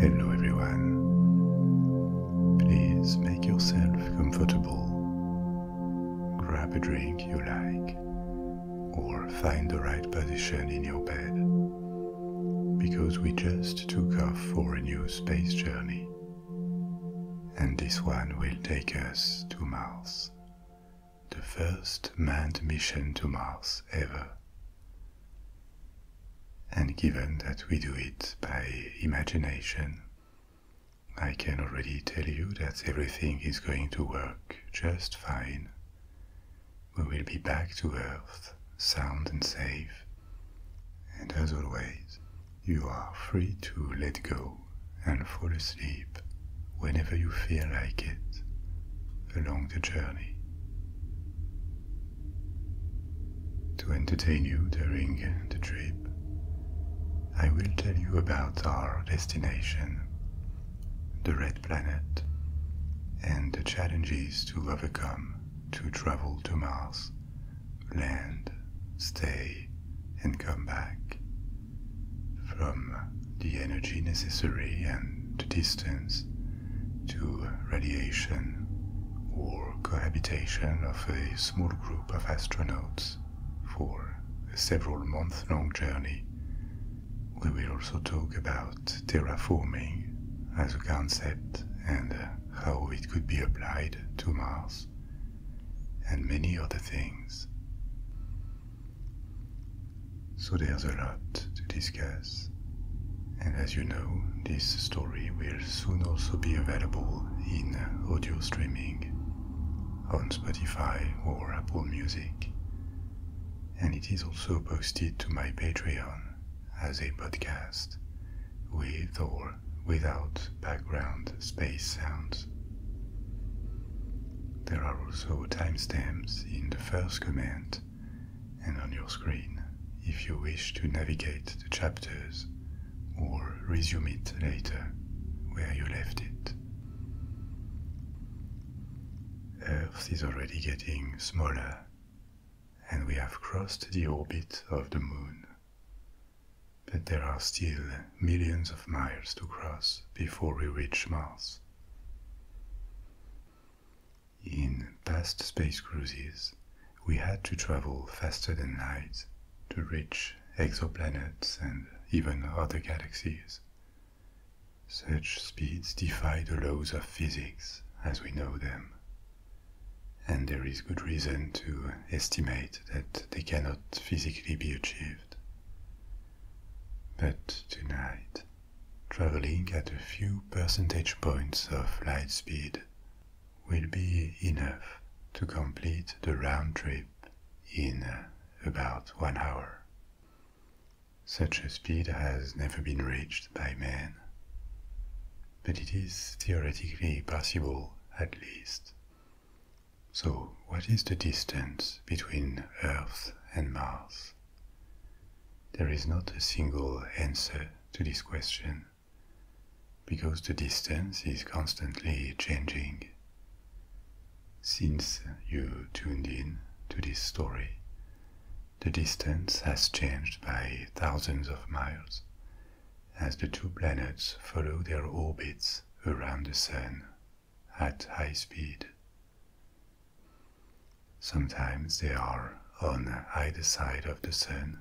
Hello, everyone. Please make yourself comfortable. Grab a drink you like, or find the right position in your bed, because we just took off for a new space journey. And this one will take us to Mars, the first manned mission to Mars ever. And given that we do it by imagination, I can already tell you that everything is going to work just fine. We will be back to Earth, sound and safe, and as always, you are free to let go and fall asleep whenever you feel like it along the journey. To entertain you during the trip, I will tell you about our destination, the Red Planet, and the challenges to overcome to travel to Mars land, stay, and come back. From the energy necessary and the distance to radiation or cohabitation of a small group of astronauts for a several month long journey. We will also talk about terraforming as a concept and how it could be applied to Mars, and many other things. So there's a lot to discuss, and as you know, this story will soon also be available in audio streaming on Spotify or Apple Music, and it is also posted to my Patreon as a podcast with or without background space sounds. There are also timestamps in the first comment and on your screen if you wish to navigate the chapters or resume it later where you left it. Earth is already getting smaller, and we have crossed the orbit of the Moon but there are still millions of miles to cross before we reach Mars. In past space cruises, we had to travel faster than light to reach exoplanets and even other galaxies. Such speeds defy the laws of physics as we know them and there is good reason to estimate that they cannot physically be achieved. But tonight, traveling at a few percentage points of light speed will be enough to complete the round trip in about one hour. Such a speed has never been reached by man but it is theoretically possible at least. So, what is the distance between Earth and Mars? There is not a single answer to this question, because the distance is constantly changing. Since you tuned in to this story, the distance has changed by thousands of miles as the two planets follow their orbits around the Sun at high speed. Sometimes they are on either side of the Sun,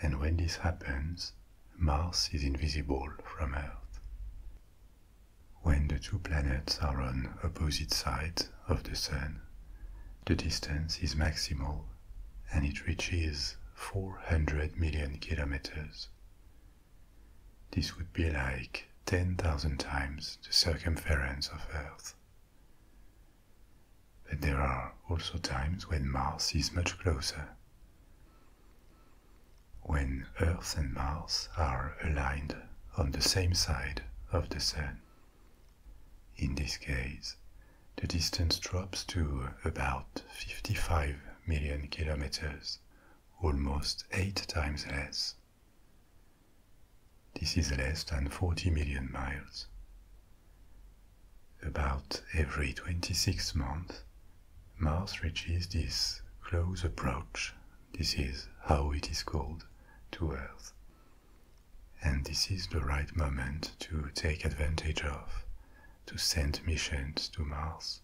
and when this happens, Mars is invisible from Earth. When the two planets are on opposite sides of the Sun, the distance is maximal and it reaches 400 million kilometers. This would be like 10,000 times the circumference of Earth. But there are also times when Mars is much closer. When Earth and Mars are aligned on the same side of the Sun, in this case, the distance drops to about 55 million kilometers, almost eight times less. This is less than 40 million miles. About every 26 months, Mars reaches this close approach, this is how it is called, to Earth and this is the right moment to take advantage of to send missions to Mars.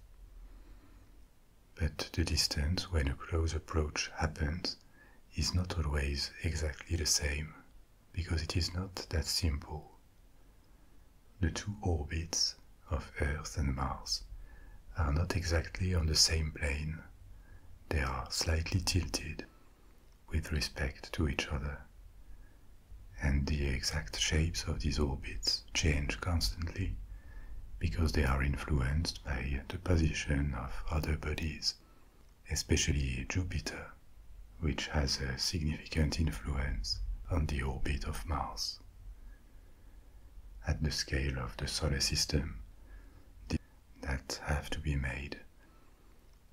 But the distance when a close approach happens is not always exactly the same because it is not that simple. The two orbits of Earth and Mars are not exactly on the same plane. They are slightly tilted with respect to each other. And the exact shapes of these orbits change constantly because they are influenced by the position of other bodies, especially Jupiter, which has a significant influence on the orbit of Mars. At the scale of the solar system, that have to be made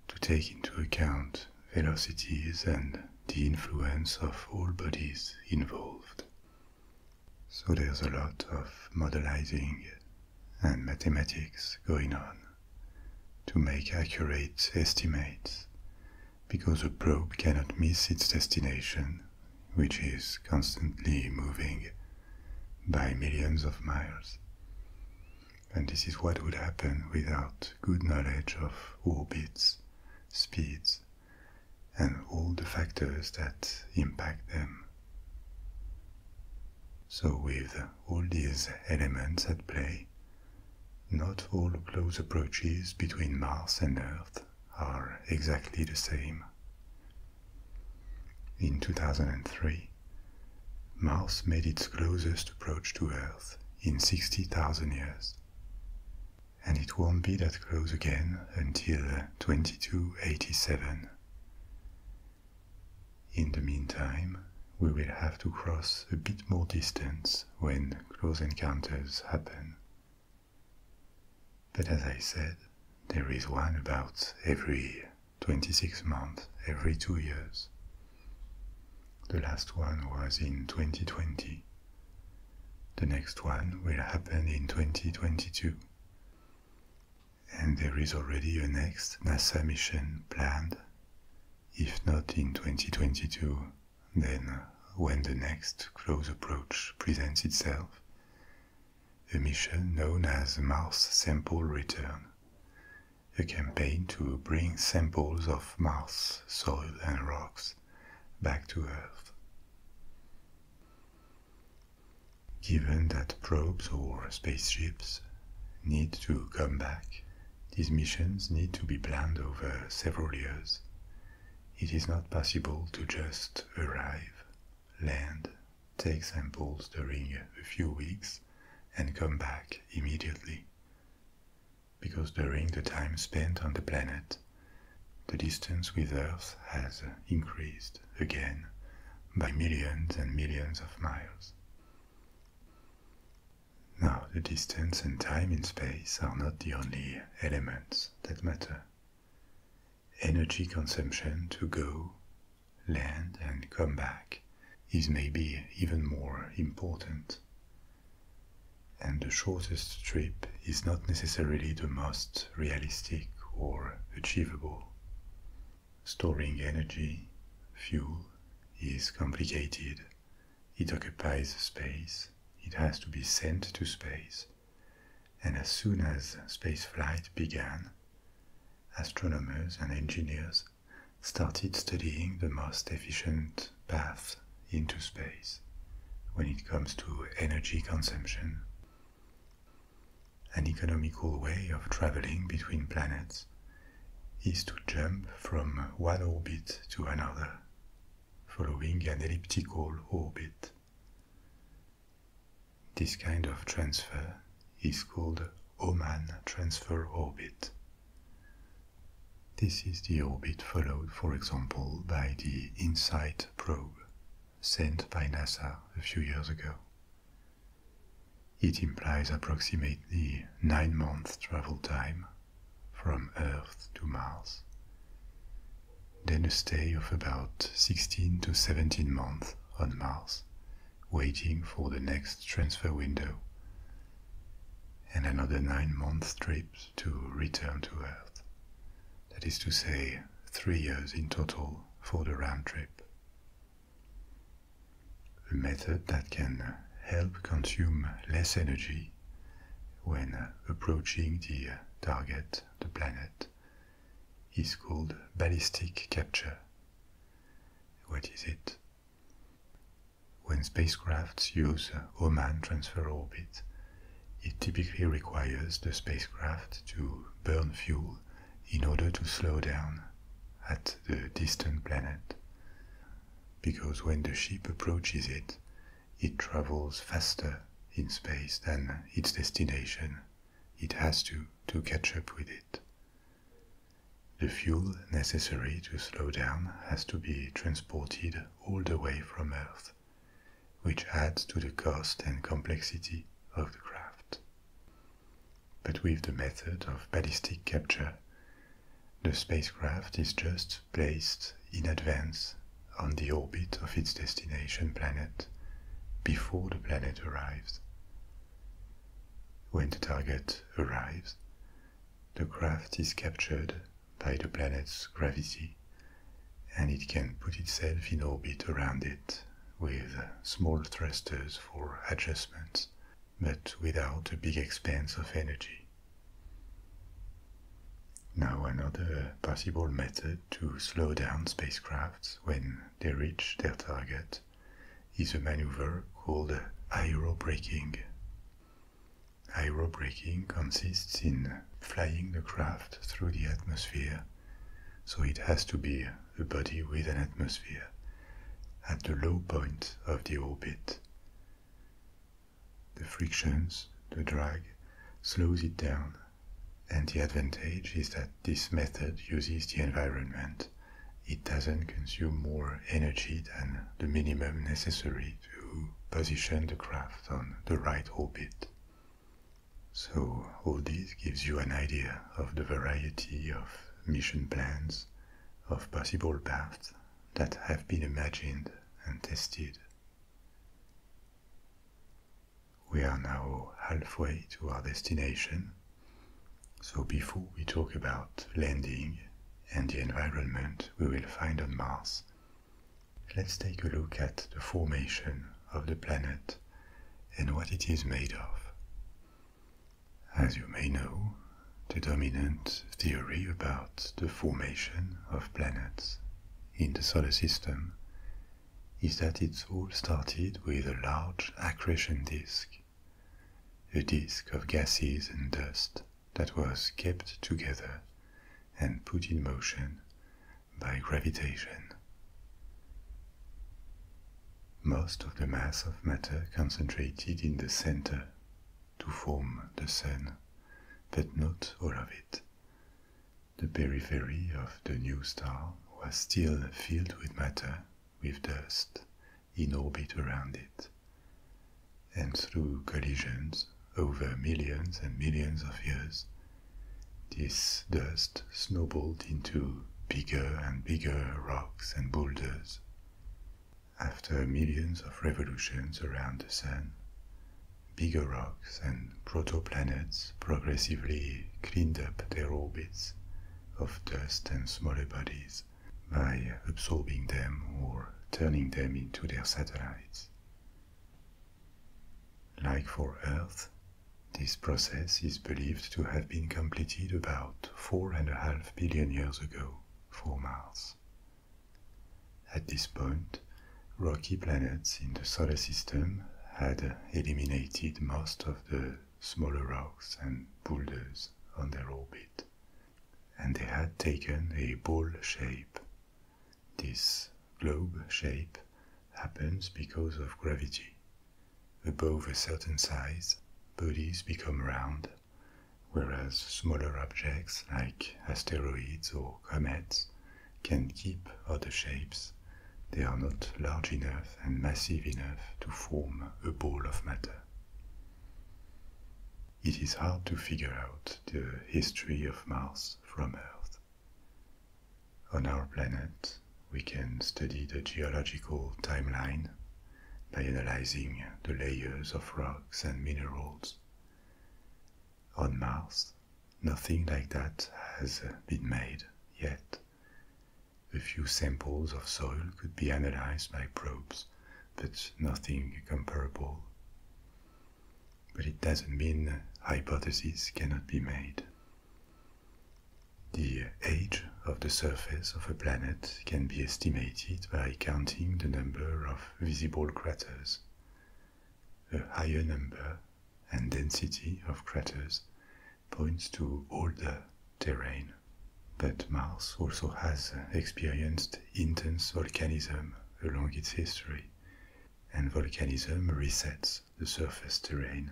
to take into account velocities and the influence of all bodies involved. So there's a lot of modelling and mathematics going on to make accurate estimates because a probe cannot miss its destination, which is constantly moving by millions of miles and this is what would happen without good knowledge of orbits, speeds, and all the factors that impact them. So, with all these elements at play, not all close approaches between Mars and Earth are exactly the same. In 2003, Mars made its closest approach to Earth in 60,000 years. And it won't be that close again until uh, 2287. In the meantime, we will have to cross a bit more distance when close encounters happen. But as I said, there is one about every 26 months, every two years. The last one was in 2020. The next one will happen in 2022. And there is already a next NASA mission planned. If not in 2022, then when the next close approach presents itself, a mission known as Mars Sample Return a campaign to bring samples of Mars soil and rocks back to Earth. Given that probes or spaceships need to come back, these missions need to be planned over several years. It is not possible to just arrive, land, take samples during a few weeks, and come back immediately because during the time spent on the planet, the distance with Earth has increased again by millions and millions of miles. Now, the distance and time in space are not the only elements that matter. Energy consumption to go, land, and come back is maybe even more important. And the shortest trip is not necessarily the most realistic or achievable. Storing energy, fuel, is complicated. It occupies space, it has to be sent to space. And as soon as space flight began, astronomers and engineers started studying the most efficient path into space when it comes to energy consumption. An economical way of traveling between planets is to jump from one orbit to another, following an elliptical orbit. This kind of transfer is called Oman transfer orbit. This is the orbit followed, for example, by the InSight probe sent by NASA a few years ago. It implies approximately nine months travel time from Earth to Mars, then a stay of about 16 to 17 months on Mars, waiting for the next transfer window and another nine month trip to return to Earth. That is to say, three years in total for the round trip. A method that can help consume less energy when approaching the target, the planet, is called ballistic capture. What is it? When spacecrafts use Oman transfer orbit, it typically requires the spacecraft to burn fuel in order to slow down at the distant planet. Because when the ship approaches it, it travels faster in space than its destination. It has to to catch up with it. The fuel necessary to slow down has to be transported all the way from Earth, which adds to the cost and complexity of the craft. But with the method of ballistic capture, the spacecraft is just placed in advance on the orbit of its destination planet before the planet arrives. When the target arrives, the craft is captured by the planet's gravity and it can put itself in orbit around it with small thrusters for adjustments, but without a big expense of energy. Now, another possible method to slow down spacecrafts when they reach their target is a maneuver called aerobraking. Aerobraking consists in flying the craft through the atmosphere, so it has to be a body with an atmosphere at the low point of the orbit. The frictions, the drag, slows it down, and the advantage is that this method uses the environment it doesn't consume more energy than the minimum necessary to position the craft on the right orbit. So, all this gives you an idea of the variety of mission plans, of possible paths that have been imagined and tested. We are now halfway to our destination, so before we talk about landing and the environment we will find on Mars, let's take a look at the formation of the planet and what it is made of. As you may know, the dominant theory about the formation of planets in the solar system is that it all started with a large accretion disk, a disk of gases and dust that was kept together and put in motion by gravitation. Most of the mass of matter concentrated in the center to form the Sun, but not all of it. The periphery of the new star was still filled with matter, with dust, in orbit around it. And through collisions over millions and millions of years, this dust snowballed into bigger and bigger rocks and boulders. After millions of revolutions around the Sun, bigger rocks and protoplanets progressively cleaned up their orbits of dust and smaller bodies by absorbing them or turning them into their satellites. Like for Earth, this process is believed to have been completed about four and a half billion years ago for Mars. At this point, rocky planets in the solar system had eliminated most of the smaller rocks and boulders on their orbit, and they had taken a ball shape. This globe shape happens because of gravity. Above a certain size, bodies become round, whereas smaller objects like asteroids or comets can keep other shapes. They are not large enough and massive enough to form a ball of matter it is hard to figure out the history of Mars from Earth. On our planet, we can study the geological timeline by analyzing the layers of rocks and minerals. On Mars, nothing like that has been made yet. A few samples of soil could be analyzed by probes but nothing comparable. But it doesn't mean hypotheses cannot be made. The age of the surface of a planet can be estimated by counting the number of visible craters. A higher number and density of craters points to older terrain but Mars also has experienced intense volcanism along its history, and volcanism resets the surface terrain.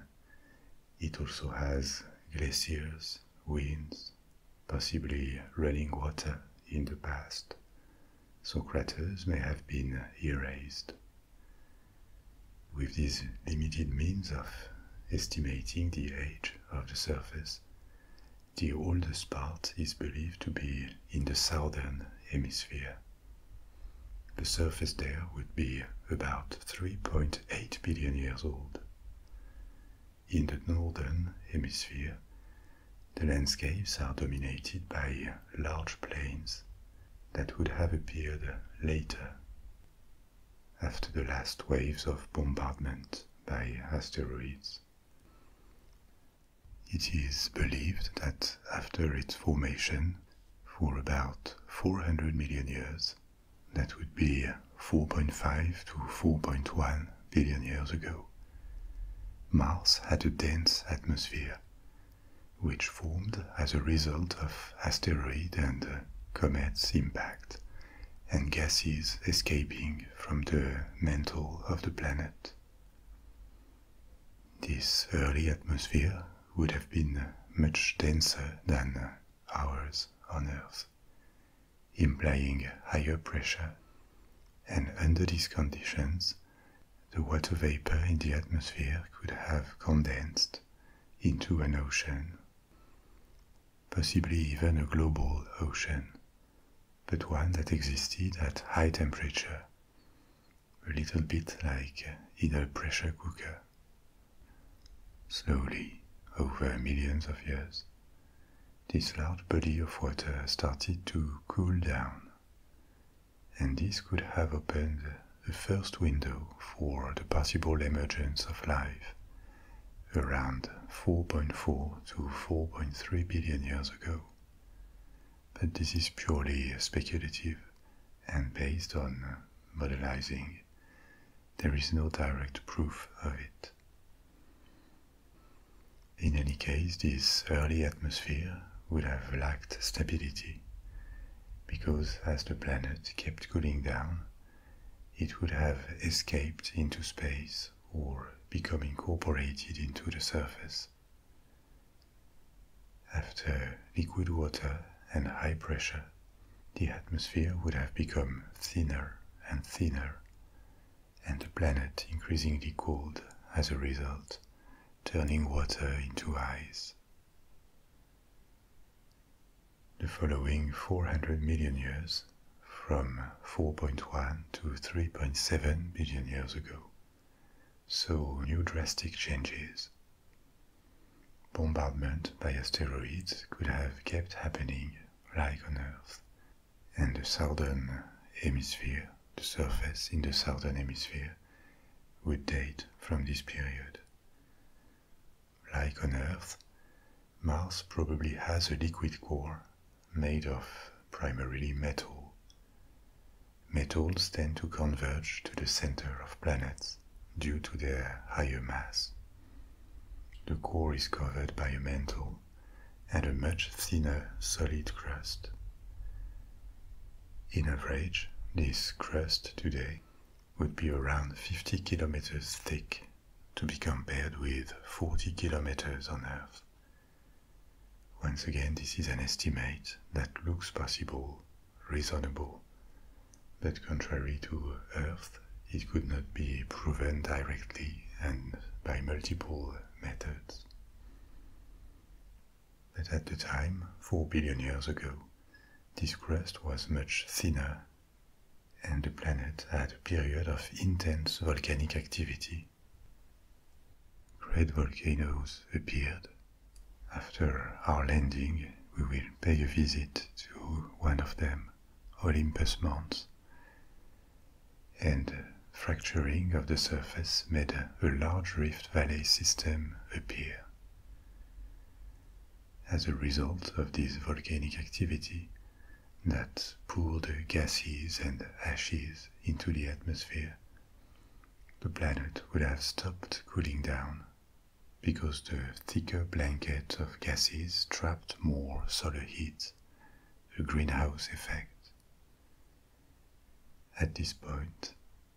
It also has glaciers, winds, possibly running water in the past, so craters may have been erased. With these limited means of estimating the age of the surface, the oldest part is believed to be in the southern hemisphere. The surface there would be about 3.8 billion years old. In the northern hemisphere, the landscapes are dominated by large plains that would have appeared later, after the last waves of bombardment by asteroids it is believed that after its formation, for about 400 million years, that would be 4.5 to 4.1 billion years ago, Mars had a dense atmosphere, which formed as a result of asteroid and comet's impact and gases escaping from the mantle of the planet. This early atmosphere would have been much denser than ours on Earth, implying higher pressure, and under these conditions, the water vapor in the atmosphere could have condensed into an ocean, possibly even a global ocean but one that existed at high temperature, a little bit like either pressure cooker. Slowly, over millions of years, this large body of water started to cool down, and this could have opened the first window for the possible emergence of life around 4.4 to 4.3 billion years ago. But this is purely speculative and based on modelling. There is no direct proof of it. In any case, this early atmosphere would have lacked stability because as the planet kept cooling down, it would have escaped into space or become incorporated into the surface. After liquid water and high pressure, the atmosphere would have become thinner and thinner, and the planet increasingly cold as a result, turning water into ice. The following 400 million years from 4.1 to 3.7 billion years ago, so new drastic changes. Bombardment by asteroids could have kept happening like on Earth, and the southern hemisphere, the surface in the southern hemisphere, would date from this period. Like on Earth, Mars probably has a liquid core made of primarily metal. Metals tend to converge to the center of planets due to their higher mass. The core is covered by a mantle and a much thinner solid crust. In average, this crust today would be around 50 kilometers thick to be compared with 40 kilometers on Earth. Once again, this is an estimate that looks possible, reasonable, but contrary to Earth, it could not be proven directly and by multiple methods. But at the time, 4 billion years ago, this crust was much thinner and the planet had a period of intense volcanic activity Great volcanoes appeared. After our landing, we will pay a visit to one of them, Olympus Mons. And fracturing of the surface made a large rift valley system appear. As a result of this volcanic activity, that poured gases and ashes into the atmosphere, the planet would have stopped cooling down because the thicker blanket of gases trapped more solar heat, the greenhouse effect. At this point,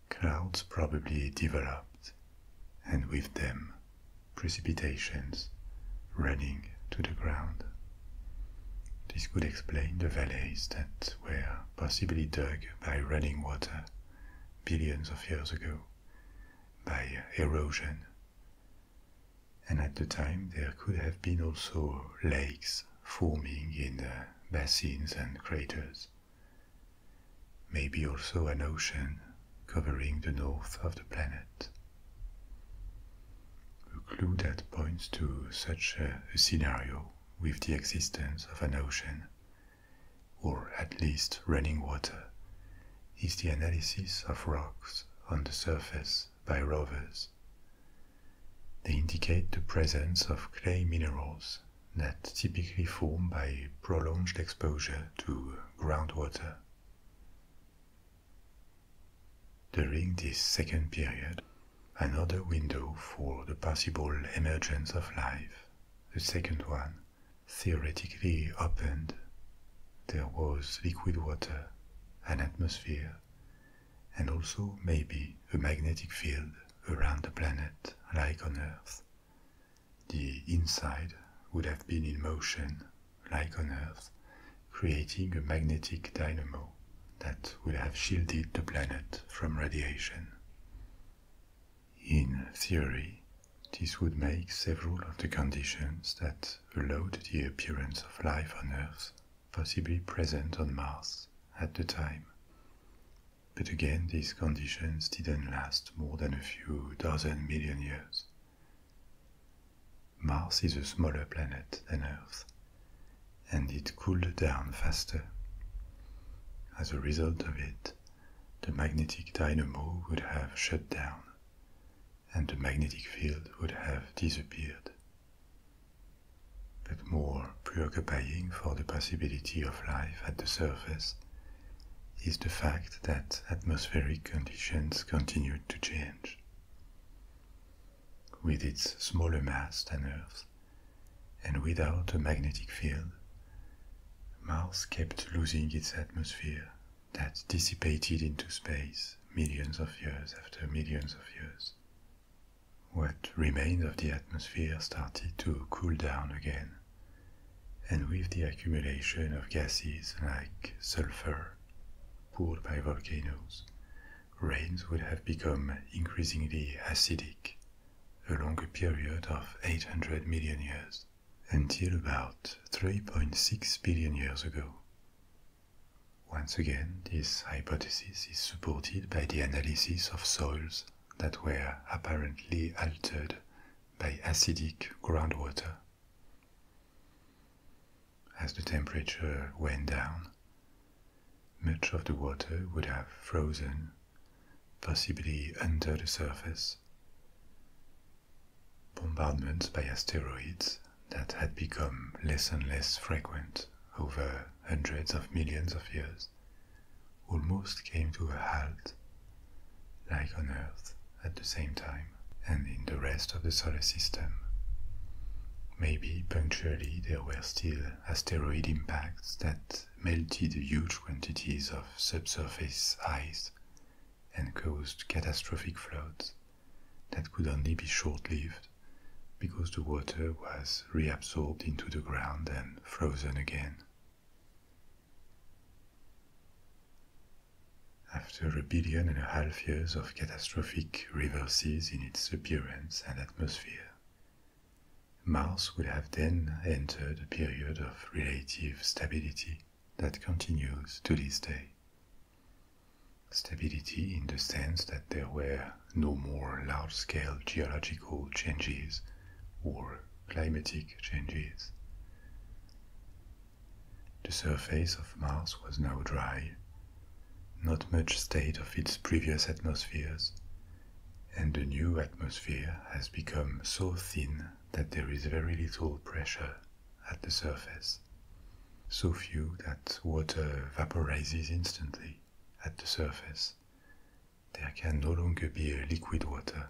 clouds probably developed, and with them, precipitations running to the ground. This could explain the valleys that were possibly dug by running water billions of years ago by erosion. And at the time, there could have been also lakes forming in the uh, basins and craters. Maybe also an ocean covering the north of the planet a clue that points to such a, a scenario with the existence of an ocean, or at least running water, is the analysis of rocks on the surface by rovers. They indicate the presence of clay minerals that typically form by prolonged exposure to groundwater. During this second period, another window for the possible emergence of life, the second one, theoretically opened. There was liquid water, an atmosphere, and also maybe a magnetic field around the planet like on Earth. The inside would have been in motion like on Earth, creating a magnetic dynamo that would have shielded the planet from radiation. In theory, this would make several of the conditions that allowed the appearance of life on Earth possibly present on Mars at the time. But again, these conditions didn't last more than a few dozen million years. Mars is a smaller planet than Earth, and it cooled down faster. As a result of it, the magnetic dynamo would have shut down, and the magnetic field would have disappeared. But more preoccupying for the possibility of life at the surface is the fact that atmospheric conditions continued to change with its smaller mass than Earth, and without a magnetic field. Mars kept losing its atmosphere that dissipated into space millions of years after millions of years. What remained of the atmosphere started to cool down again, and with the accumulation of gases like sulfur poured by volcanoes, rains would have become increasingly acidic along a period of 800 million years until about 3.6 billion years ago. Once again, this hypothesis is supported by the analysis of soils that were apparently altered by acidic groundwater as the temperature went down. Much of the water would have frozen, possibly under the surface. Bombardments by asteroids that had become less and less frequent over hundreds of millions of years almost came to a halt, like on Earth at the same time and in the rest of the solar system. Maybe punctually there were still asteroid impacts that melted huge quantities of subsurface ice and caused catastrophic floods that could only be short lived because the water was reabsorbed into the ground and frozen again. After a billion and a half years of catastrophic reverses in its appearance and atmosphere. Mars would have then entered a period of relative stability that continues to this day. Stability in the sense that there were no more large scale geological changes or climatic changes. The surface of Mars was now dry, not much state of its previous atmospheres, and the new atmosphere has become so thin that there is very little pressure at the surface, so few that water vaporizes instantly at the surface. There can no longer be a liquid water.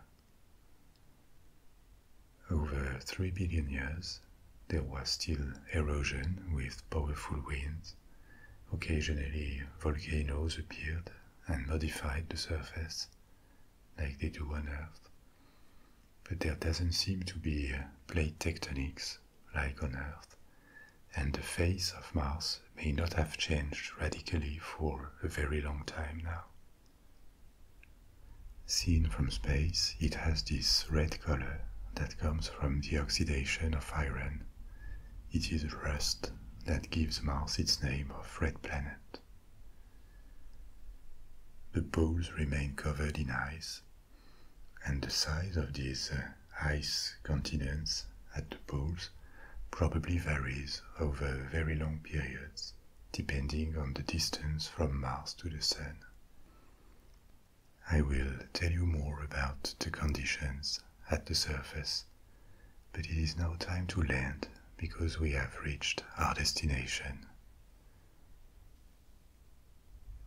Over 3 billion years, there was still erosion with powerful winds. Occasionally, volcanoes appeared and modified the surface, like they do on Earth. But there doesn't seem to be plate tectonics like on Earth, and the face of Mars may not have changed radically for a very long time now. Seen from space, it has this red color that comes from the oxidation of iron. It is rust that gives Mars its name of red planet. The poles remain covered in ice, and the size of these uh, ice continents at the poles probably varies over very long periods, depending on the distance from Mars to the Sun. I will tell you more about the conditions at the surface, but it is now time to land because we have reached our destination.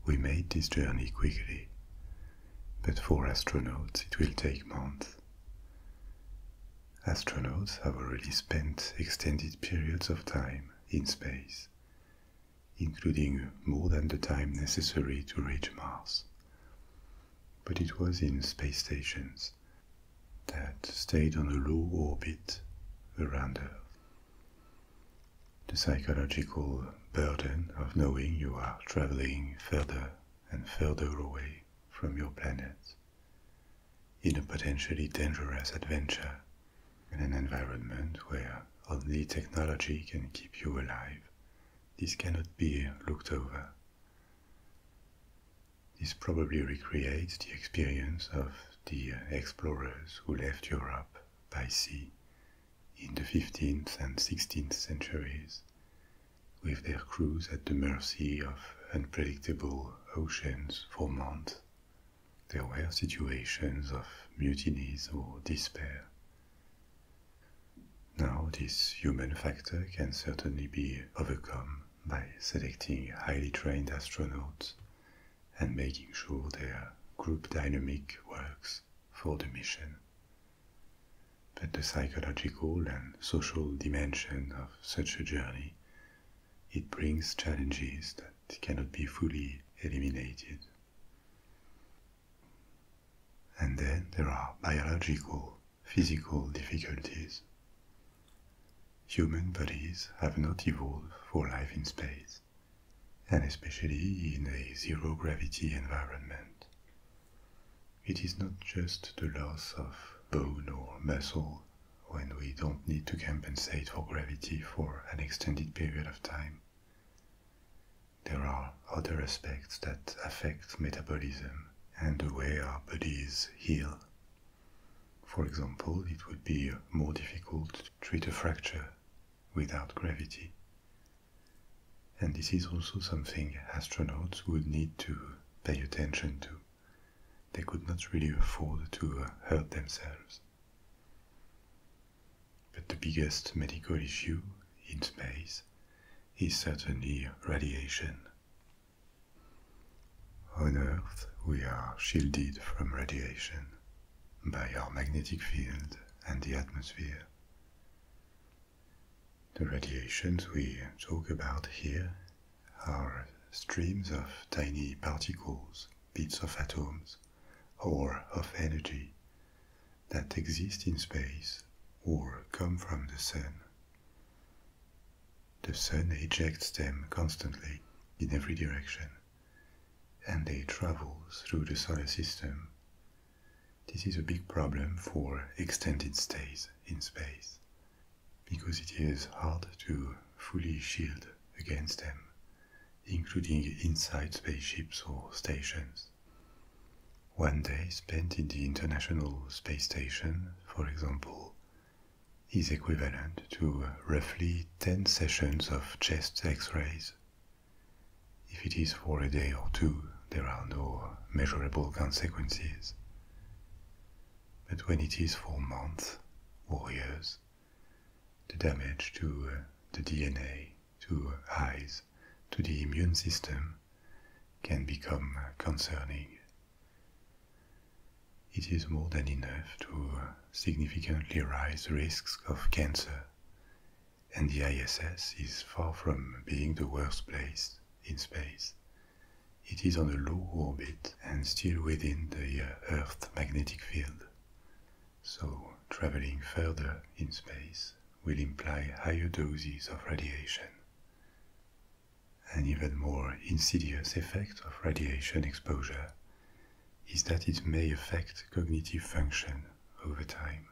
We made this journey quickly, but for astronauts it will take months. Astronauts have already spent extended periods of time in space, including more than the time necessary to reach Mars. But it was in space stations that stayed on a low orbit around Earth. The psychological burden of knowing you are traveling further and further away from your planet in a potentially dangerous adventure in an environment where only technology can keep you alive, this cannot be looked over. This probably recreates the experience of the explorers who left Europe by sea in the 15th and 16th centuries, with their crews at the mercy of unpredictable oceans for months. There were situations of mutinies or despair, now, this human factor can certainly be overcome by selecting highly trained astronauts and making sure their group dynamic works for the mission. But the psychological and social dimension of such a journey, it brings challenges that cannot be fully eliminated. And then there are biological, physical difficulties. Human bodies have not evolved for life in space, and especially in a zero gravity environment. It is not just the loss of bone or muscle when we don't need to compensate for gravity for an extended period of time there are other aspects that affect metabolism and the way our bodies heal. For example, it would be more difficult to treat a fracture without gravity. And this is also something astronauts would need to pay attention to. They could not really afford to uh, hurt themselves. But the biggest medical issue in space is certainly radiation. On Earth, we are shielded from radiation by our magnetic field and the atmosphere. The radiations we talk about here are streams of tiny particles, bits of atoms, or of energy that exist in space or come from the sun. The sun ejects them constantly in every direction, and they travel through the solar system. This is a big problem for extended stays in space, because it is hard to fully shield against them including inside spaceships or stations. One day spent in the International Space Station, for example, is equivalent to roughly 10 sessions of chest x-rays. If it is for a day or two, there are no measurable consequences. But when it is for months or years, the damage to uh, the DNA to eyes, to the immune system, can become concerning. It is more than enough to significantly raise risks of cancer, and the ISS is far from being the worst place in space. It is on a low orbit and still within the uh, Earth's magnetic field so traveling further in space will imply higher doses of radiation. An even more insidious effect of radiation exposure is that it may affect cognitive function over time,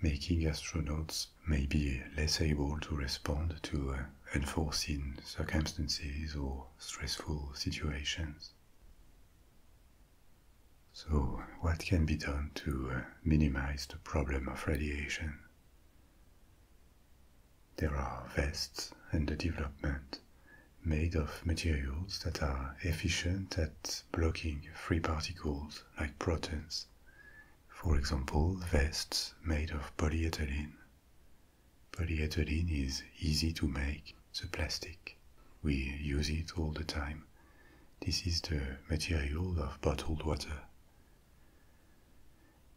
making astronauts may be less able to respond to uh, unforeseen circumstances or stressful situations. So, what can be done to uh, minimize the problem of radiation? There are vests and the development made of materials that are efficient at blocking free particles like protons. For example, vests made of polyethylene. Polyethylene is easy to make the plastic. We use it all the time. This is the material of bottled water.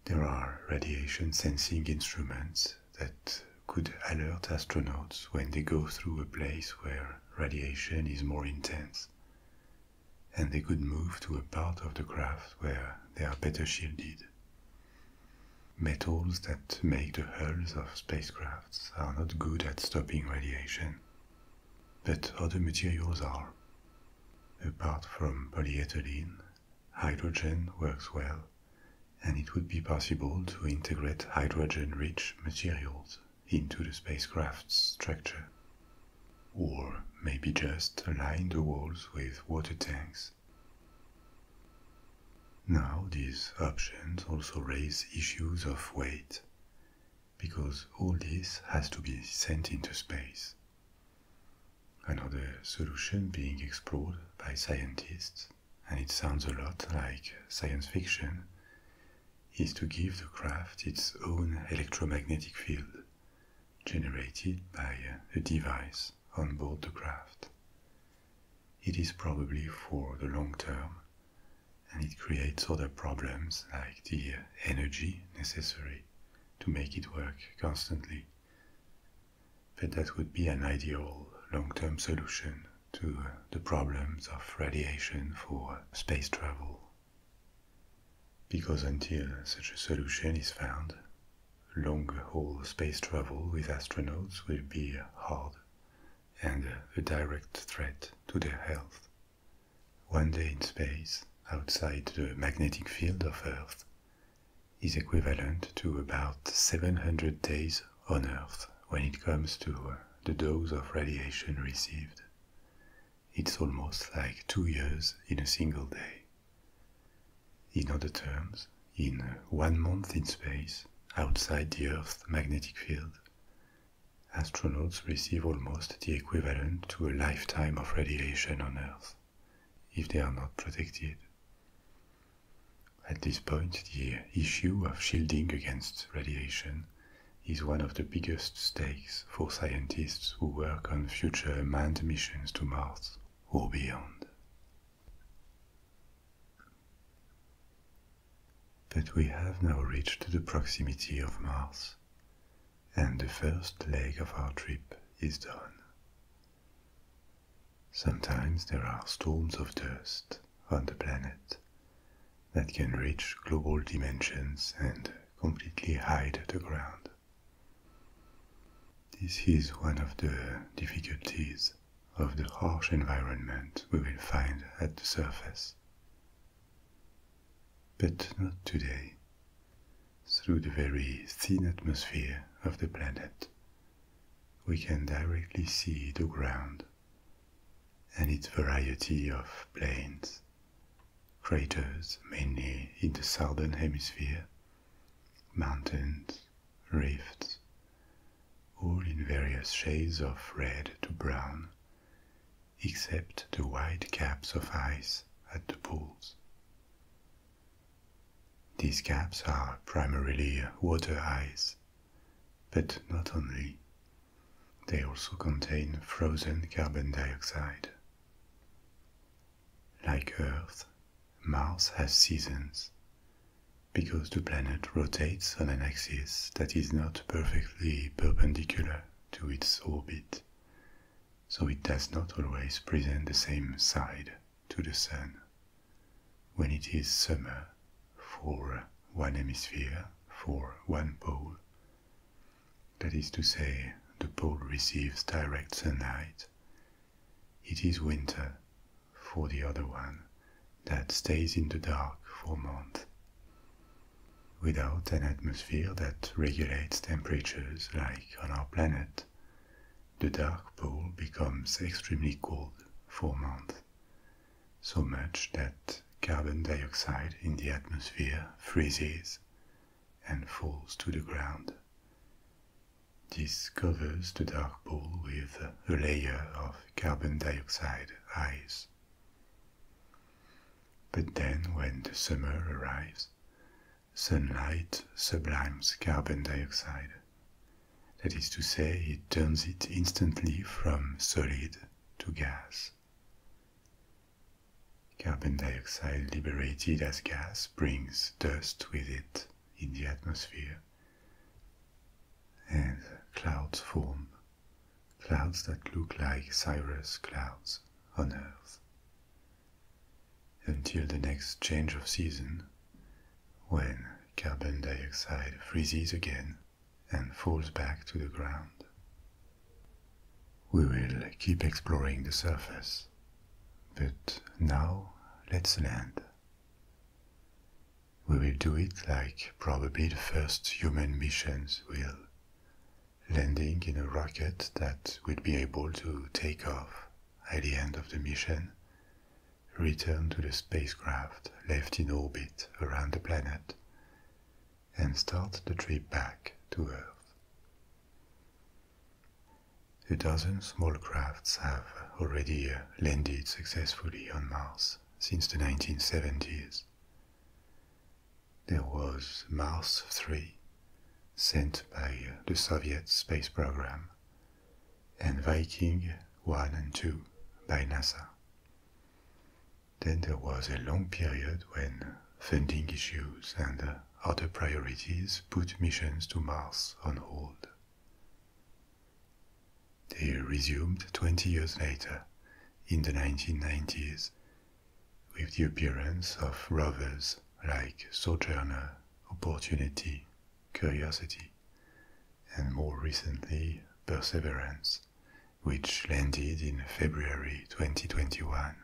There are radiation sensing instruments that could alert astronauts when they go through a place where radiation is more intense, and they could move to a part of the craft where they are better shielded. Metals that make the hulls of spacecraft are not good at stopping radiation, but other materials are. Apart from polyethylene, hydrogen works well, and it would be possible to integrate hydrogen rich materials into the spacecraft's structure. Or maybe just line the walls with water tanks. Now, these options also raise issues of weight because all this has to be sent into space. Another solution being explored by scientists, and it sounds a lot like science fiction, is to give the craft its own electromagnetic field, generated by a device on board the craft. It is probably for the long term and it creates other problems like the energy necessary to make it work constantly. But that would be an ideal long term solution to uh, the problems of radiation for space travel. Because until such a solution is found, long haul space travel with astronauts will be hard and a direct threat to their health. One day in space, outside the magnetic field of Earth, is equivalent to about 700 days on Earth when it comes to the dose of radiation received. It's almost like two years in a single day. In other terms, in one month in space, outside the Earth's magnetic field, astronauts receive almost the equivalent to a lifetime of radiation on Earth if they are not protected. At this point, the issue of shielding against radiation is one of the biggest stakes for scientists who work on future manned missions to Mars or beyond. But we have now reached the proximity of Mars, and the first leg of our trip is done. Sometimes there are storms of dust on the planet that can reach global dimensions and completely hide the ground. This is one of the difficulties of the harsh environment we will find at the surface. But not today, through the very thin atmosphere of the planet. We can directly see the ground and its variety of plains, craters mainly in the southern hemisphere, mountains, rifts, all in various shades of red to brown except the wide caps of ice at the poles. These caps are primarily water ice, but not only. They also contain frozen carbon dioxide. Like Earth, Mars has seasons because the planet rotates on an axis that is not perfectly perpendicular to its orbit, so it does not always present the same side to the Sun. When it is summer for one hemisphere, for one pole, that is to say, the pole receives direct sunlight, it is winter for the other one that stays in the dark for months. Without an atmosphere that regulates temperatures like on our planet, the dark pole becomes extremely cold for months, so much that carbon dioxide in the atmosphere freezes and falls to the ground. This covers the dark pole with a layer of carbon dioxide ice. But then, when the summer arrives, sunlight sublimes carbon dioxide. That is to say, it turns it instantly from solid to gas. Carbon dioxide liberated as gas brings dust with it in the atmosphere, and clouds form clouds that look like cirrus clouds on Earth. Until the next change of season, when carbon dioxide freezes again and falls back to the ground. We will keep exploring the surface, but now let's land. We will do it like probably the first human missions will, landing in a rocket that will be able to take off at the end of the mission, return to the spacecraft left in orbit around the planet, and start the trip back to Earth. A dozen small crafts have already uh, landed successfully on Mars since the 1970s there was Mars 3, sent by the Soviet space program, and Viking 1 and 2 by NASA. Then there was a long period when funding issues and other priorities put missions to Mars on hold. They resumed 20 years later, in the 1990s, with the appearance of rovers like Sojourner, Opportunity, Curiosity, and more recently, Perseverance, which landed in February 2021.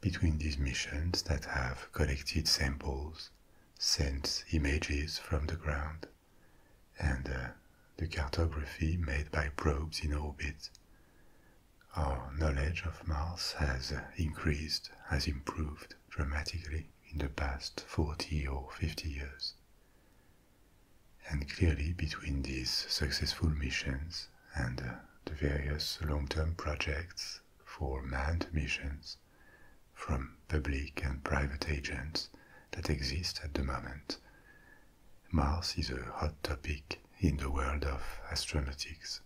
Between these missions that have collected samples, sent images from the ground, and uh, the cartography made by probes in orbit. Our knowledge of Mars has uh, increased, has improved dramatically in the past 40 or 50 years. And clearly, between these successful missions and uh, the various long term projects for manned missions from public and private agents, that exists at the moment. Mars is a hot topic in the world of astronautics.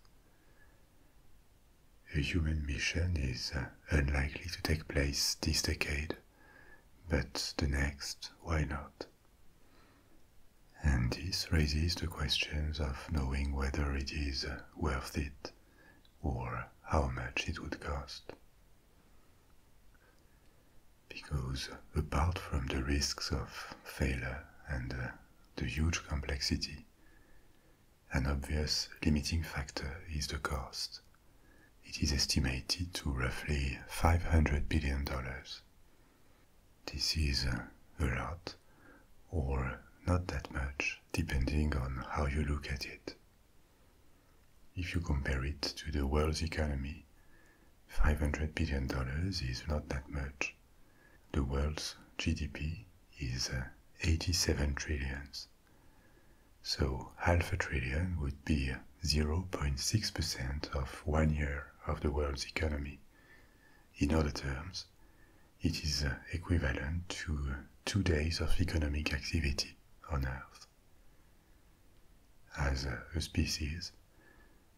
A human mission is uh, unlikely to take place this decade, but the next, why not? And this raises the questions of knowing whether it is uh, worth it or how much it would cost. Because apart from the risks of failure and uh, the huge complexity, an obvious limiting factor is the cost. It is estimated to roughly $500 billion. This is uh, a lot, or not that much, depending on how you look at it. If you compare it to the world's economy, $500 billion is not that much. The world's GDP is uh, 87 trillions. So half a trillion would be 0.6% of one year of the world's economy. In other terms, it is uh, equivalent to uh, two days of economic activity on Earth. As a species,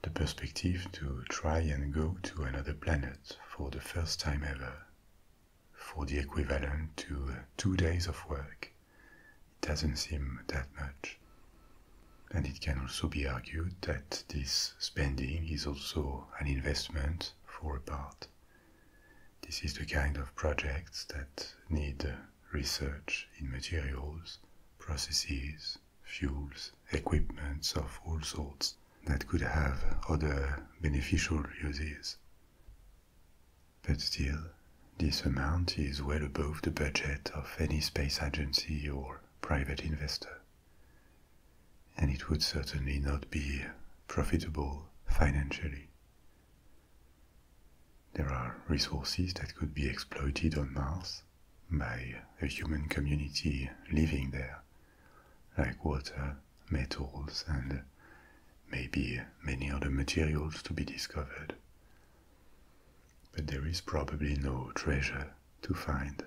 the perspective to try and go to another planet for the first time ever, for the equivalent to uh, two days of work, it doesn't seem that much. And it can also be argued that this spending is also an investment for a part. This is the kind of projects that need uh, research in materials, processes, fuels, equipments of all sorts that could have other beneficial uses. But still, this amount is well above the budget of any space agency or private investor. And it would certainly not be profitable financially. There are resources that could be exploited on Mars by a human community living there, like water, metals, and maybe many other materials to be discovered. But there is probably no treasure to find.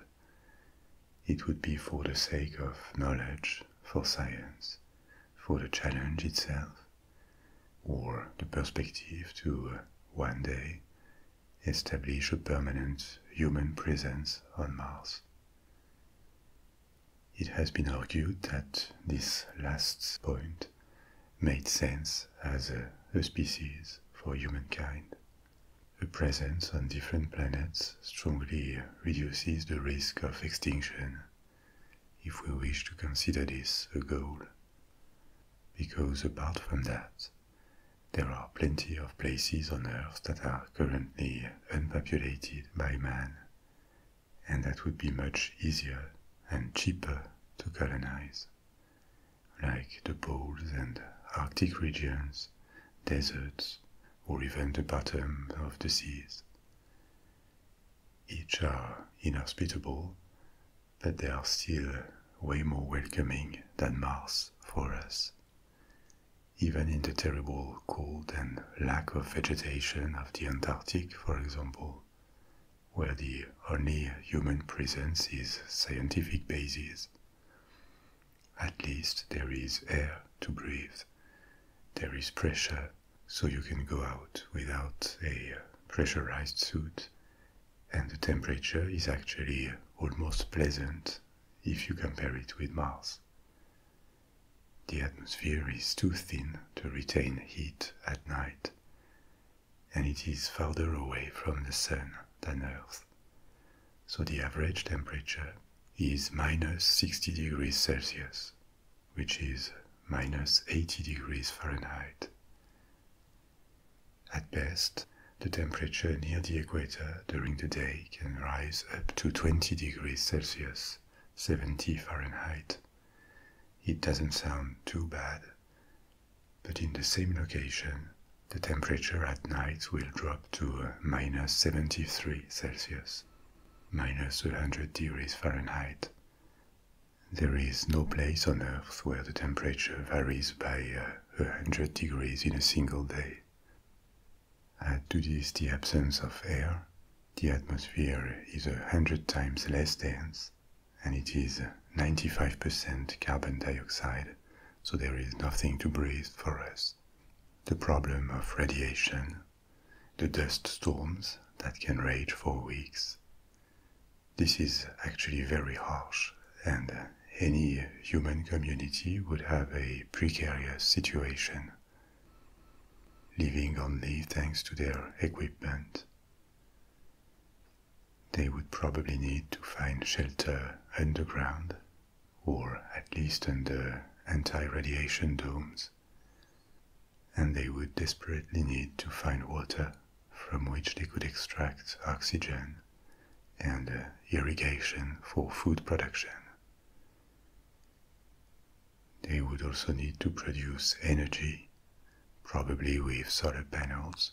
It would be for the sake of knowledge, for science, for the challenge itself, or the perspective to uh, one day establish a permanent human presence on Mars. It has been argued that this last point made sense as a, a species for humankind. A presence on different planets strongly reduces the risk of extinction if we wish to consider this a goal. Because apart from that, there are plenty of places on Earth that are currently unpopulated by man, and that would be much easier and cheaper to colonize, like the poles and Arctic regions, deserts, or even the bottom of the seas. Each are inhospitable, but they are still way more welcoming than Mars for us. Even in the terrible cold and lack of vegetation of the Antarctic, for example, where the only human presence is scientific bases, At least there is air to breathe, there is pressure so you can go out without a pressurized suit, and the temperature is actually almost pleasant if you compare it with Mars. The atmosphere is too thin to retain heat at night, and it is farther away from the Sun than Earth. So the average temperature is minus 60 degrees Celsius which is minus 80 degrees Fahrenheit. At best, the temperature near the equator during the day can rise up to 20 degrees Celsius, 70 Fahrenheit. It doesn't sound too bad, but in the same location, the temperature at night will drop to uh, minus 73 Celsius, minus 100 degrees Fahrenheit. There is no place on Earth where the temperature varies by 100 uh, degrees in a single day. Add to this the absence of air, the atmosphere is a hundred times less dense, and it is 95% carbon dioxide, so there is nothing to breathe for us. The problem of radiation, the dust storms that can rage for weeks, this is actually very harsh, and any human community would have a precarious situation, living only thanks to their equipment. They would probably need to find shelter underground, or at least under anti radiation domes, and they would desperately need to find water from which they could extract oxygen and uh, irrigation for food production. They would also need to produce energy, probably with solar panels,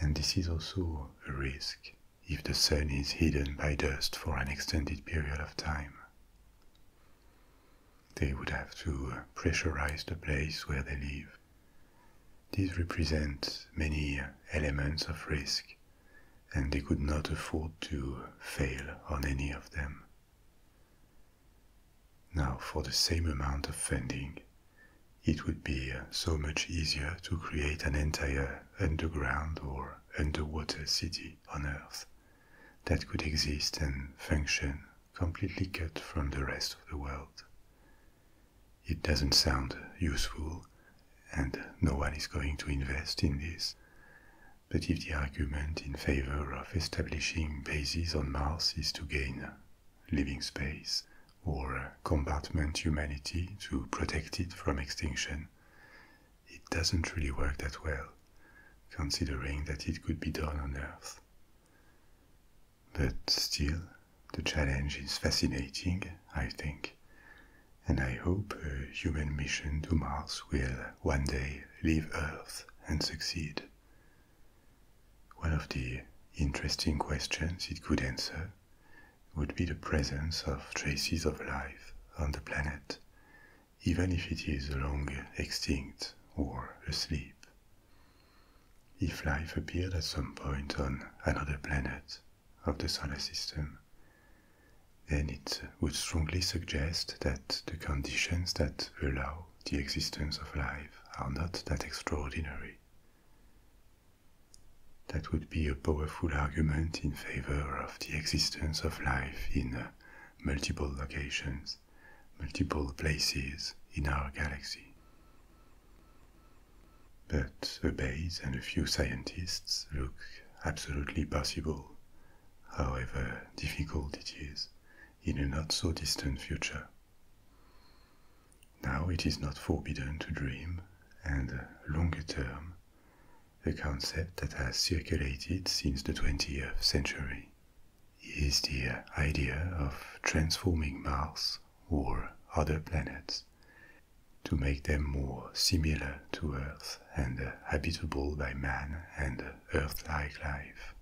and this is also a risk if the sun is hidden by dust for an extended period of time. They would have to uh, pressurize the place where they live. These represent many uh, elements of risk, and they could not afford to uh, fail on any of them. Now, for the same amount of funding, it would be so much easier to create an entire underground or underwater city on Earth that could exist and function completely cut from the rest of the world. It doesn't sound useful, and no one is going to invest in this. But if the argument in favor of establishing bases on Mars is to gain living space or compartment humanity to protect it from extinction, it doesn't really work that well, considering that it could be done on Earth. But still, the challenge is fascinating, I think, and I hope a human mission to Mars will one day leave Earth and succeed. One of the interesting questions it could answer would be the presence of traces of life on the planet, even if it is long extinct or asleep. If life appeared at some point on another planet of the solar system, then it would strongly suggest that the conditions that allow the existence of life are not that extraordinary. That would be a powerful argument in favor of the existence of life in multiple locations multiple places in our galaxy. But a base and a few scientists look absolutely possible, however difficult it is, in a not so distant future. Now it is not forbidden to dream, and longer term, a concept that has circulated since the 20th century is the idea of transforming Mars or other planets to make them more similar to Earth and habitable by man and Earth-like life.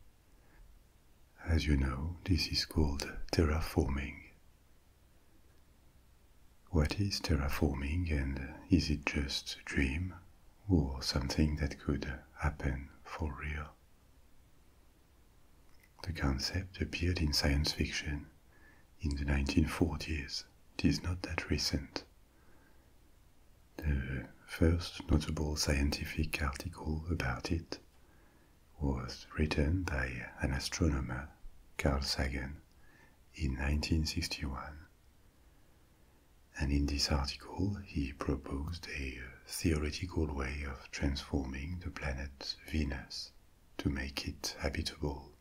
As you know, this is called terraforming. What is terraforming and is it just a dream or something that could happen for real? The concept appeared in science fiction in the 1940s, it is not that recent. The first notable scientific article about it was written by an astronomer, Carl Sagan, in 1961. And in this article, he proposed here theoretical way of transforming the planet Venus to make it habitable.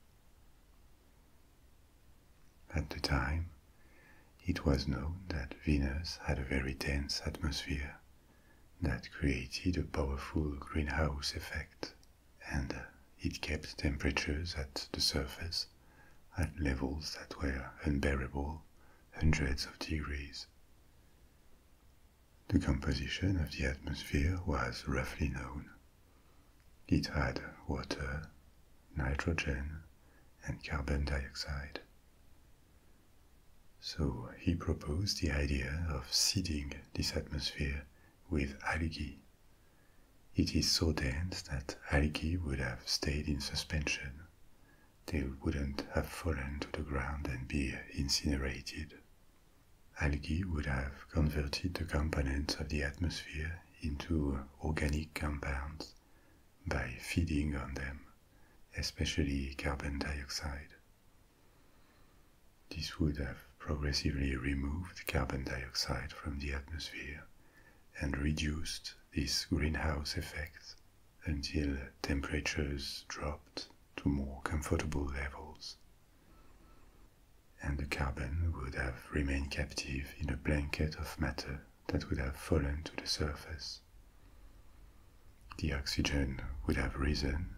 At the time, it was known that Venus had a very dense atmosphere that created a powerful greenhouse effect, and it kept temperatures at the surface at levels that were unbearable hundreds of degrees the composition of the atmosphere was roughly known. It had water, nitrogen, and carbon dioxide. So he proposed the idea of seeding this atmosphere with algae. It is so dense that algae would have stayed in suspension, they wouldn't have fallen to the ground and be incinerated. Algae would have converted the components of the atmosphere into organic compounds by feeding on them, especially carbon dioxide. This would have progressively removed carbon dioxide from the atmosphere and reduced this greenhouse effect until temperatures dropped to more comfortable levels. And the carbon would have remained captive in a blanket of matter that would have fallen to the surface. The oxygen would have risen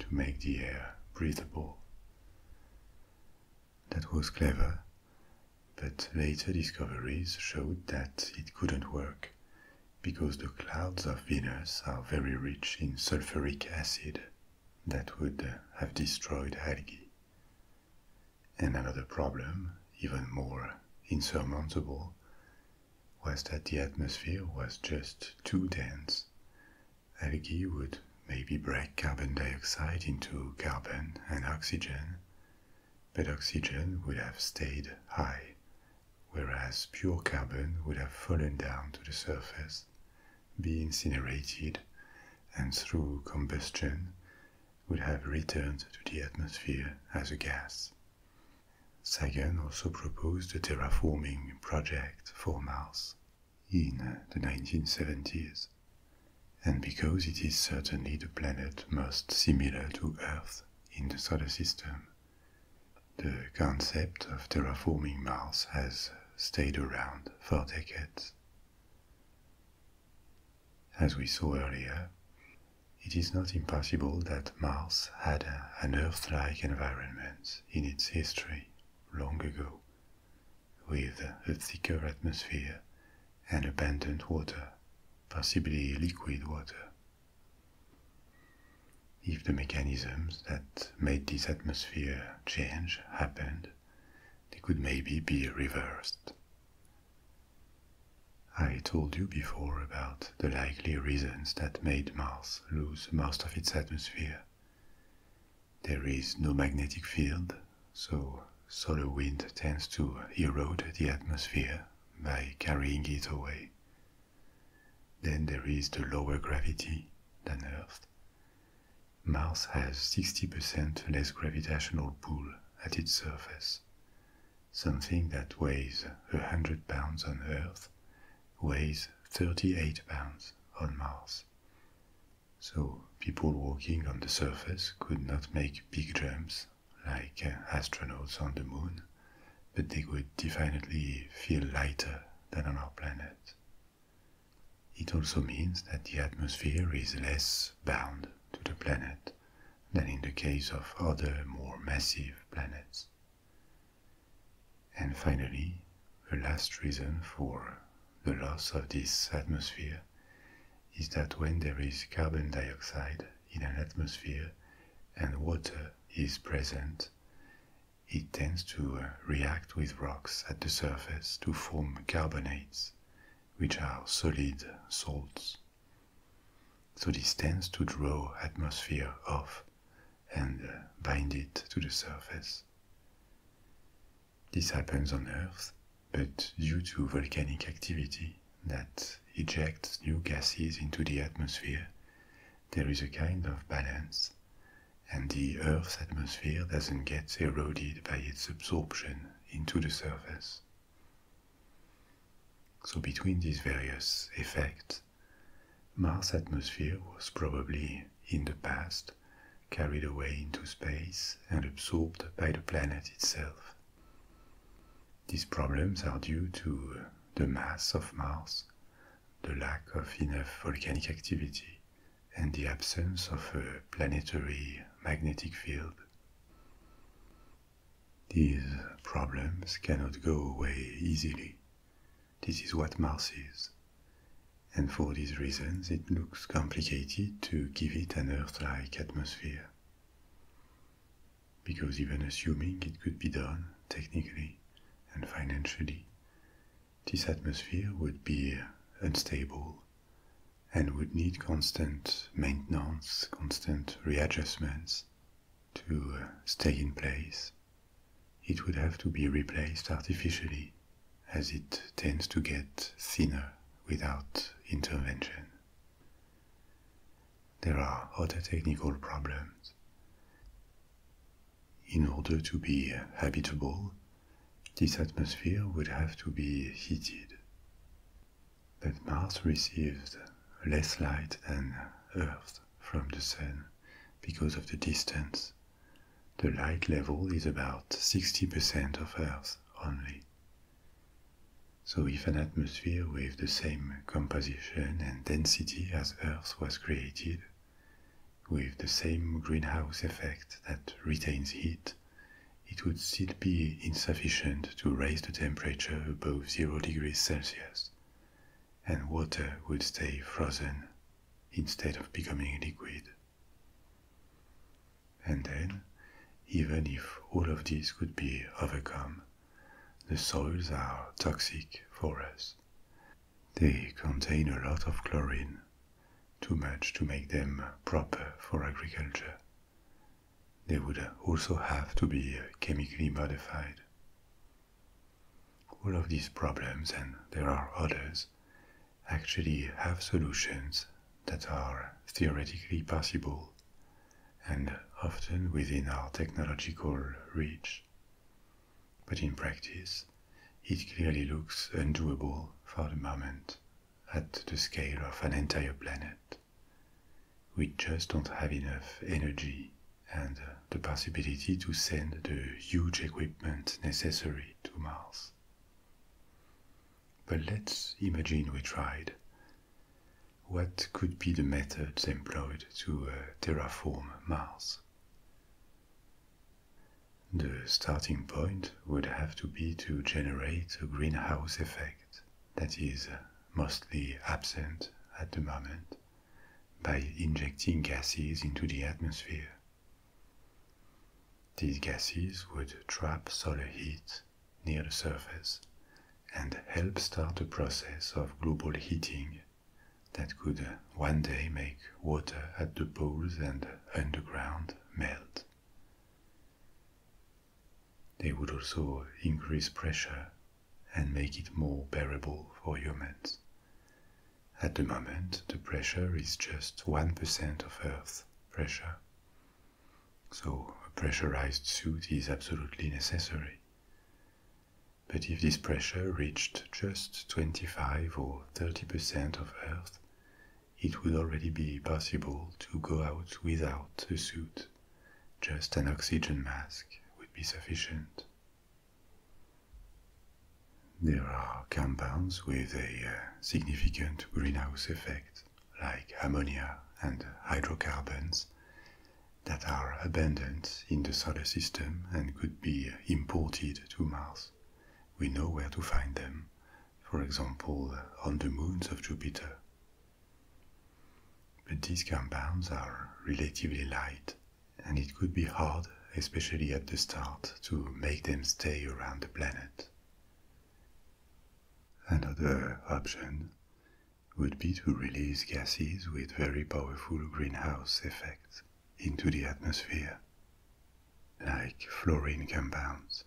to make the air breathable. That was clever, but later discoveries showed that it couldn't work because the clouds of Venus are very rich in sulfuric acid that would have destroyed algae. And another problem, even more insurmountable, was that the atmosphere was just too dense. Algae would maybe break carbon dioxide into carbon and oxygen, but oxygen would have stayed high, whereas pure carbon would have fallen down to the surface, be incinerated, and through combustion would have returned to the atmosphere as a gas. Sagan also proposed a terraforming project for Mars in the 1970s. And because it is certainly the planet most similar to Earth in the solar system, the concept of terraforming Mars has stayed around for decades. As we saw earlier, it is not impossible that Mars had an Earth like environment in its history long ago, with a thicker atmosphere and abundant water, possibly liquid water. If the mechanisms that made this atmosphere change happened, they could maybe be reversed. I told you before about the likely reasons that made Mars lose most of its atmosphere. There is no magnetic field, so solar wind tends to erode the atmosphere by carrying it away then there is the lower gravity than Earth. Mars has 60% less gravitational pull at its surface. Something that weighs 100 pounds on Earth weighs 38 pounds on Mars. So people walking on the surface could not make big jumps like uh, astronauts on the moon, but they would definitely feel lighter than on our planet. It also means that the atmosphere is less bound to the planet than in the case of other more massive planets. And finally, the last reason for the loss of this atmosphere is that when there is carbon dioxide in an atmosphere and water is present, it tends to uh, react with rocks at the surface to form carbonates, which are solid salts. So this tends to draw atmosphere off and uh, bind it to the surface. This happens on Earth, but due to volcanic activity, that ejects new gases into the atmosphere, there is a kind of balance, and the Earth's atmosphere doesn't get eroded by its absorption into the surface. So, between these various effects, Mars' atmosphere was probably, in the past, carried away into space and absorbed by the planet itself. These problems are due to the mass of Mars, the lack of enough volcanic activity, and the absence of a planetary magnetic field. These problems cannot go away easily. This is what Mars is. And for these reasons, it looks complicated to give it an Earth like atmosphere because even assuming it could be done technically and financially, this atmosphere would be unstable and would need constant maintenance, constant readjustments to uh, stay in place. It would have to be replaced artificially as it tends to get thinner without intervention there are other technical problems. In order to be habitable, this atmosphere would have to be heated. But Mars receives less light than Earth from the Sun because of the distance. The light level is about 60% of Earth only. So if an atmosphere with the same composition and density as Earth was created, with the same greenhouse effect that retains heat, it would still be insufficient to raise the temperature above zero degrees Celsius, and water would stay frozen instead of becoming liquid. And then, even if all of this could be overcome, the soils are toxic for us. They contain a lot of chlorine, too much to make them proper for agriculture. They would also have to be chemically modified. All of these problems, and there are others, actually have solutions that are theoretically possible and often within our technological reach. But in practice, it clearly looks undoable for the moment at the scale of an entire planet. We just don't have enough energy and the possibility to send the huge equipment necessary to Mars. But let's imagine we tried what could be the methods employed to uh, terraform Mars? The starting point would have to be to generate a greenhouse effect that is uh, mostly absent at the moment by injecting gases into the atmosphere. These gases would trap solar heat near the surface and help start a process of global heating that could uh, one day make water at the poles and underground melt. They would also increase pressure and make it more bearable for humans. At the moment, the pressure is just 1% of Earth's pressure. So, a pressurized suit is absolutely necessary. But if this pressure reached just 25 or 30% of Earth, it would already be possible to go out without a suit. Just an oxygen mask would be sufficient. There are compounds with a uh, significant greenhouse effect, like ammonia and hydrocarbons, that are abundant in the solar system and could be imported to Mars. We know where to find them, for example, uh, on the moons of Jupiter. But these compounds are relatively light, and it could be hard, especially at the start, to make them stay around the planet. Another option would be to release gases with very powerful greenhouse effects into the atmosphere, like fluorine compounds.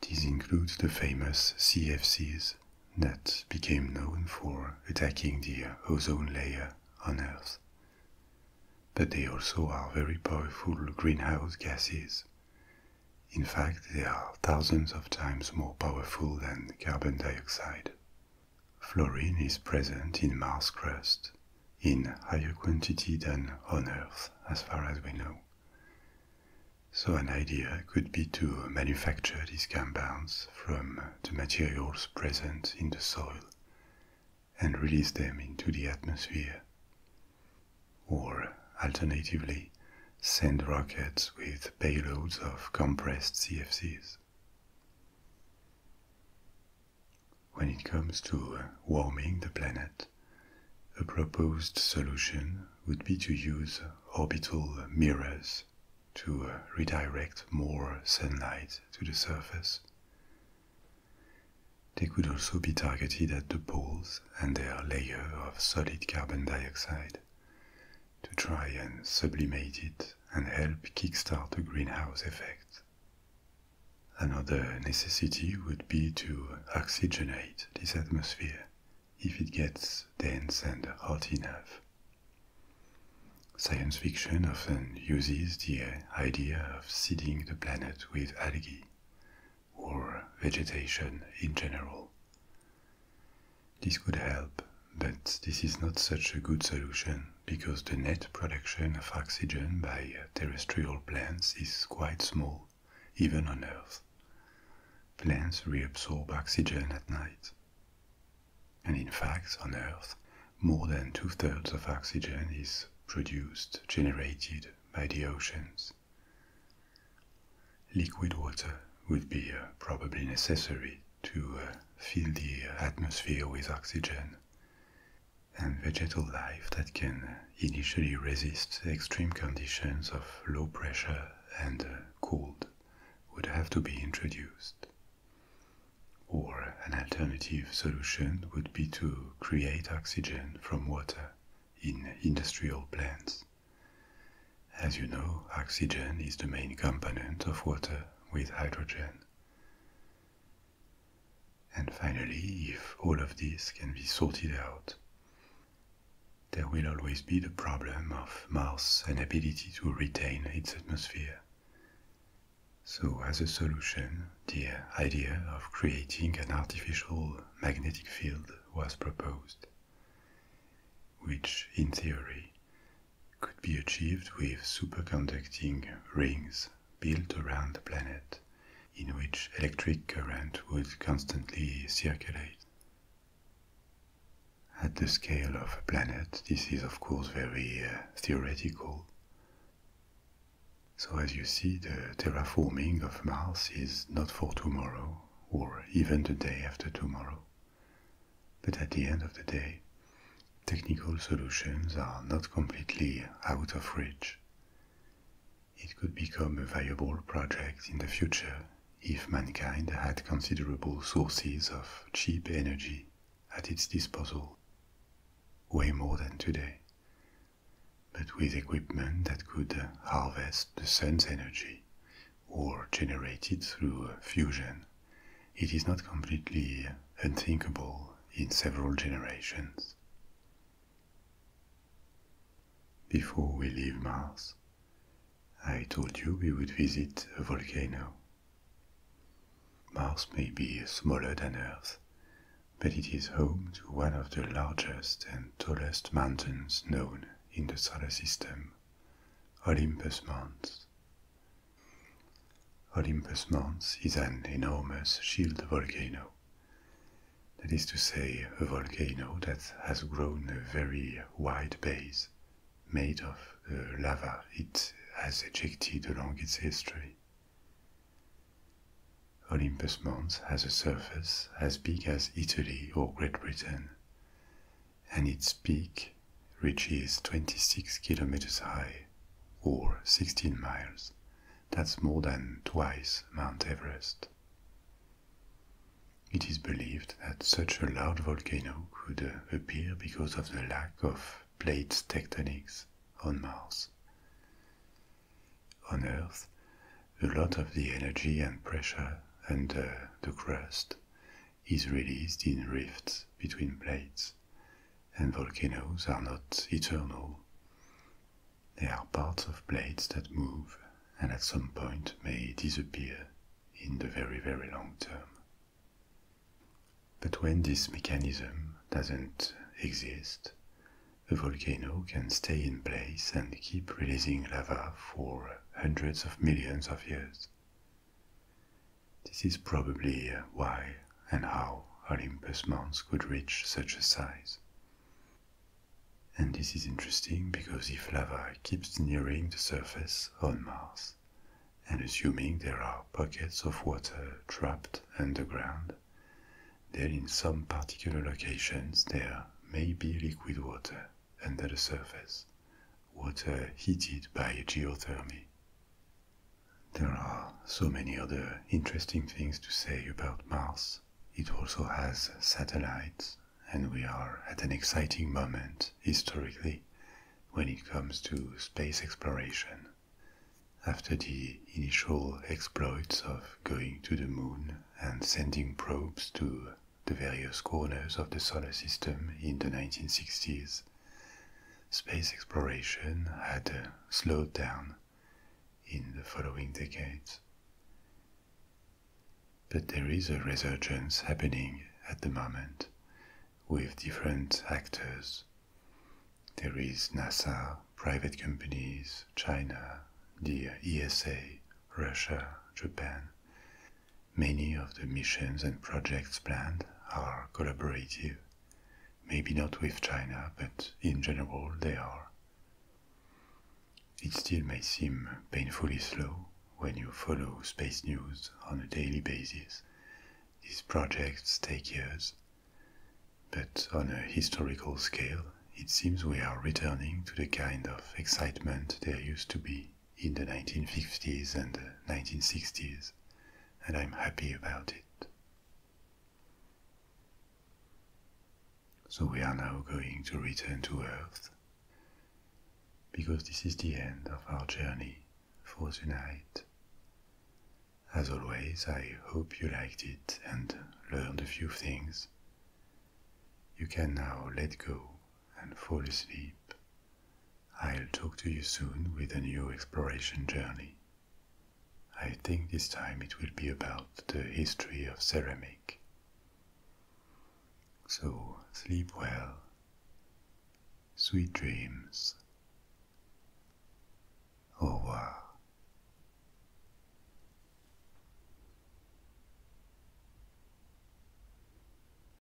These include the famous CFCs that became known for attacking the ozone layer on Earth. But they also are very powerful greenhouse gases. In fact, they are thousands of times more powerful than carbon dioxide Fluorine is present in Mars crust in higher quantity than on Earth, as far as we know. So an idea could be to manufacture these compounds from the materials present in the soil and release them into the atmosphere. Or alternatively, send rockets with payloads of compressed CFCs. When it comes to uh, warming the planet, a proposed solution would be to use orbital mirrors to uh, redirect more sunlight to the surface. They could also be targeted at the poles and their layer of solid carbon dioxide to try and sublimate it and help kickstart the greenhouse effect. Another necessity would be to oxygenate this atmosphere if it gets dense and hot enough. Science fiction often uses the idea of seeding the planet with algae or vegetation in general. This could help, but this is not such a good solution because the net production of oxygen by terrestrial plants is quite small, even on Earth. Plants reabsorb oxygen at night. And in fact, on Earth, more than two thirds of oxygen is produced, generated by the oceans. Liquid water would be uh, probably necessary to uh, fill the atmosphere with oxygen, and vegetal life that can uh, initially resist extreme conditions of low pressure and uh, cold would have to be introduced. Or an alternative solution would be to create oxygen from water in industrial plants. As you know, oxygen is the main component of water with hydrogen. And finally, if all of this can be sorted out, there will always be the problem of Mars' and ability to retain its atmosphere. So, as a solution, the idea of creating an artificial magnetic field was proposed which in theory could be achieved with superconducting rings built around the planet in which electric current would constantly circulate. At the scale of a planet, this is of course very uh, theoretical. So, as you see, the terraforming of Mars is not for tomorrow or even the day after tomorrow. But at the end of the day, technical solutions are not completely out of reach. It could become a viable project in the future if mankind had considerable sources of cheap energy at its disposal, way more than today. But with equipment that could harvest the sun's energy, or generated through fusion, it is not completely unthinkable in several generations. Before we leave Mars, I told you we would visit a volcano. Mars may be smaller than Earth, but it is home to one of the largest and tallest mountains known in the solar system, Olympus Mons, Olympus Mons is an enormous shield volcano. That is to say, a volcano that has grown a very wide base, made of the uh, lava it has ejected along its history. Olympus Mons has a surface as big as Italy or Great Britain, and its peak reaches 26 kilometers high, or 16 miles. That's more than twice Mount Everest. It is believed that such a large volcano could appear because of the lack of plate tectonics on Mars. On Earth, a lot of the energy and pressure under the crust is released in rifts between plates, and volcanoes are not eternal. They are parts of plates that move and at some point may disappear in the very, very long term. But when this mechanism doesn't exist, a volcano can stay in place and keep releasing lava for hundreds of millions of years, this is probably why and how Olympus Mons could reach such a size. And this is interesting because if lava keeps nearing the surface on Mars, and assuming there are pockets of water trapped underground, then in some particular locations there may be liquid water under the surface water uh, heated by geothermy. There are so many other interesting things to say about Mars. It also has satellites, and we are at an exciting moment historically when it comes to space exploration. After the initial exploits of going to the moon and sending probes to the various corners of the solar system in the 1960s, Space exploration had uh, slowed down in the following decades. But there is a resurgence happening at the moment with different actors. There is NASA, private companies, China, the ESA, Russia, Japan, Many of the missions and projects planned are collaborative, maybe not with China, but in general they are. It still may seem painfully slow when you follow space news on a daily basis. These projects take years. But on a historical scale, it seems we are returning to the kind of excitement there used to be in the 1950s and 1960s, and I'm happy about it. So we are now going to return to Earth, because this is the end of our journey for tonight. As always, I hope you liked it and learned a few things. You can now let go and fall asleep I'll talk to you soon with a new exploration journey. I think this time it will be about the history of ceramic. So sleep well. Sweet dreams. Au revoir.